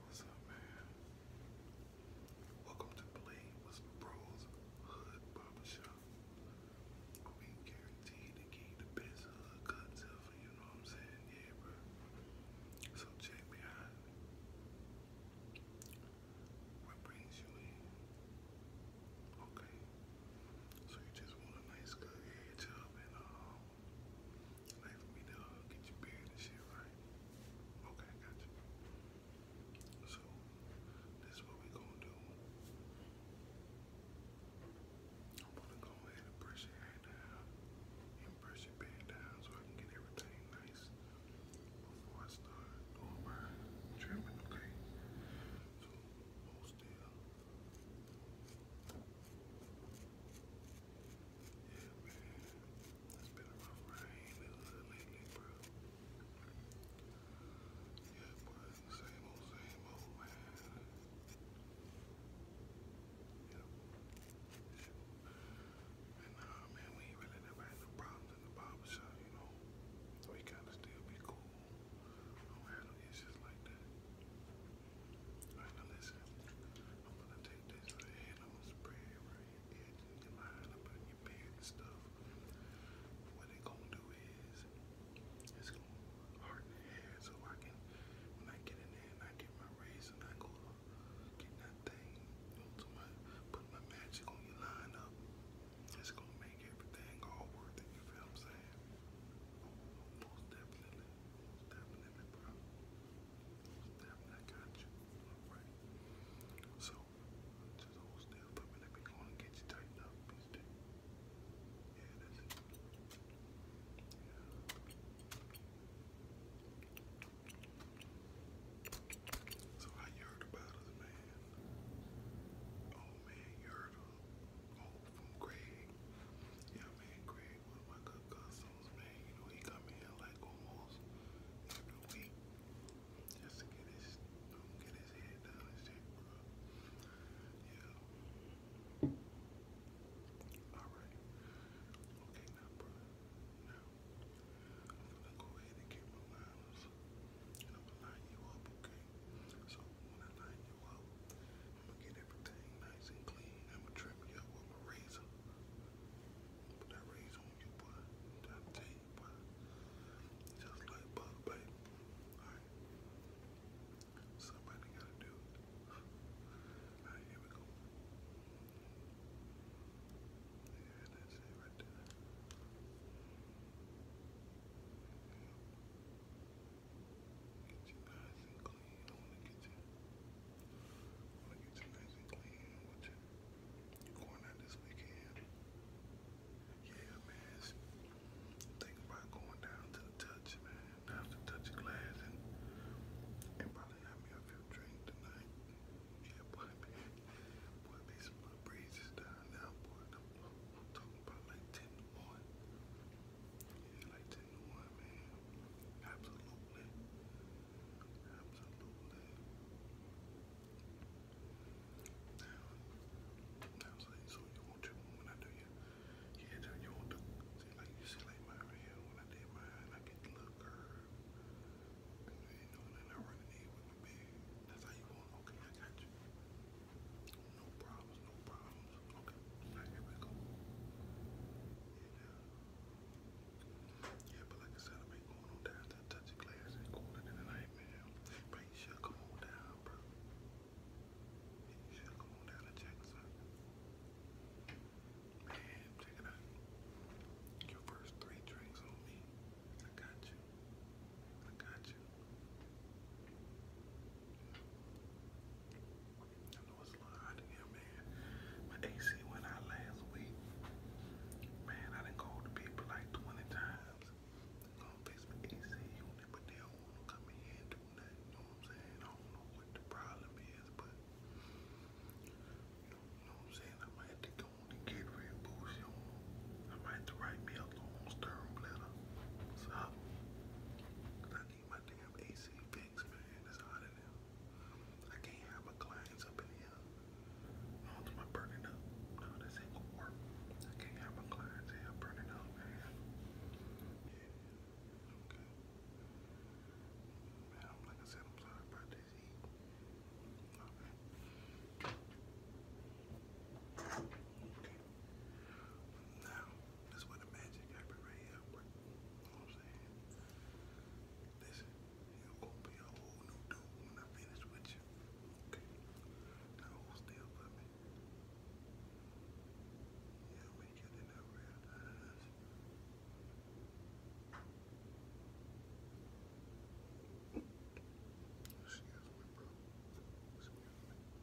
What's up, man? Welcome to Blade Bros Hood Barbershop. We guaranteed to give the best hood cuts ever, you know what I'm saying? Yeah, bro. So check behind me. What brings you in? Okay. So you just want a nice good hair and um like for me to get your beard and shit right. Okay, got you. So this is what we gonna do. I'm gonna go ahead and brush your hair down and brush your beard down so I can get everything nice before I start doing my trimming, okay? So hold still. Yeah, man. It's been a rough rain lately, bro. Yeah, boy. Same old, same old, man. Yeah. And nah, man, we really never had no problems in the barbershop, you know. We kind of still be cool. I do no issues like that. Alright, now listen. I'm gonna take this right I'm gonna spray it right in your line up in your beard and stuff. What it gonna do is it's gonna harden the hair so I can when I get in there I get my razor and I go get that thing put my magic on your line up. It's gonna make everything all worth it, you feel what I'm saying? Most definitely. Stabbing you. So, just hold still for a We going to get you tightened up. yeah, that's it. So, how you heard about us, man? Oh, man, you heard oh, from Greg. Yeah, man, Greg, one of my good cousins, man. You know, he come in like almost every week just to get his, um, get his head down and shit, bro. Yeah. Alright. Okay, now, bro. Now, I'm gonna go ahead and get my lines. And I'm gonna line you up, okay? So, when I line you up, I'ma get everything nice and clean. I'ma trim you up with my razor. Put that razor on you, boy. Just like Bug, baby. Alright. Somebody gotta do it. Alright, here we go. Yeah, that's right there. Get you Yeah man, think about going down to the touch, man. Down to touch glass and probably have me a few drinks tonight. Yeah, boy, Boy, be some little breezes down now, boy. I'm, talking about like 10 to Absolutely. Absolutely. Now, now so, so you want to, when I do your, your hair you want to, see, like, you see, like, my hair, when I did mine, I get the little curve. you know, and I run with my beard. That's how you want, okay, I got you. No problems, no problems. Okay, yeah, but like I said, I ain't going on down touch the glass. Ain't cooler than the night, But you should come on down, bro. You should come on down and check us out. Man, check it out. Your first three drinks on me. I got you. I got you. I know it's a My AC went out last week. Man, I done called the people like 20 times. They're AC but they don't wanna come in and do nothing. You know what I'm saying? I don't know what the problem is, but you know, what I'm saying? I might have to go and get rid boost, you I might have to write me a long stern letter. What's need my damn AC fixed, man. It's hot in here. I can't have my clients up in here. Oh, it's burning up. No, this ain't gonna work. I can't have my clients here burning up, man. okay. Man, that's where the magic happened right here, You what I'm saying? Listen, you're gonna be a whole new dude when I finish with you. Okay. Now hold still for me. Yeah, we get in our real eyes. Excuse me, bro. Excuse me.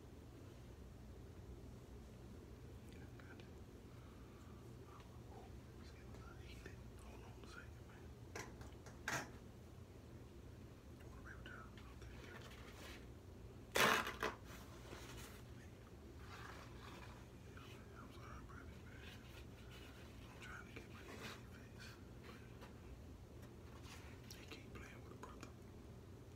Yeah, You I'm sorry, brother, I'm trying to get my face, they keep playing with a brother.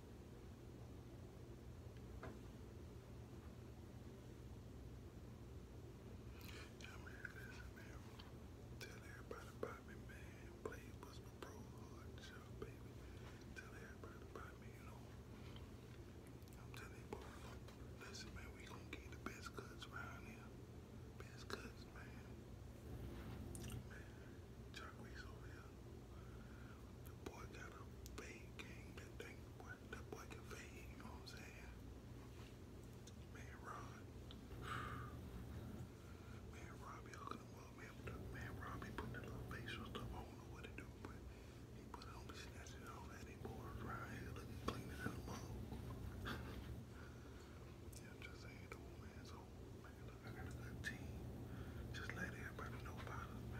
I mean, listen, man. Tell everybody about me, man. Play was my pro hard baby. Tell everybody about me, you know. I'm telling listen, man, we going get the best cuts around here. Best cuts, man. Man, Jacquees over here. The boy got a fade game. That boy, that boy can fade. You know what I'm saying? Man, Rod. Man, Robbie hooking him up. Man, man Robbie putting that little facial stuff. I don't know what to do, but he put on me, snatching it off. That right here looking clean as a just saying, though, man. So, I got a good team. Just let everybody know about us,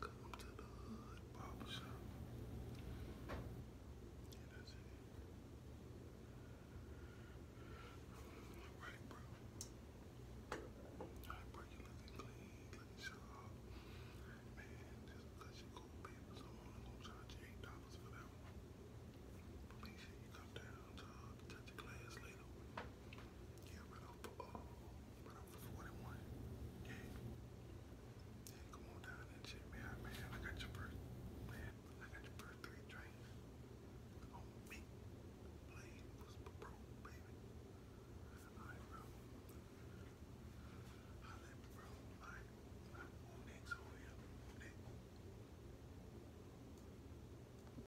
Come to the hood Right, bro. Alright, bro, you looking clean, looking sharp. Man, just because you cool papers, I'm only gonna charge you eight dollars for that one. But you come down pounds. i touch the glass later. Yeah, right off for, right off for 41. Yeah. come on down and shit, man. Man, I got your first, man, I got your first three drinks. On me. Blade was broke, baby. Alright, bro. Holla at me, bro. Alright. Who next over here?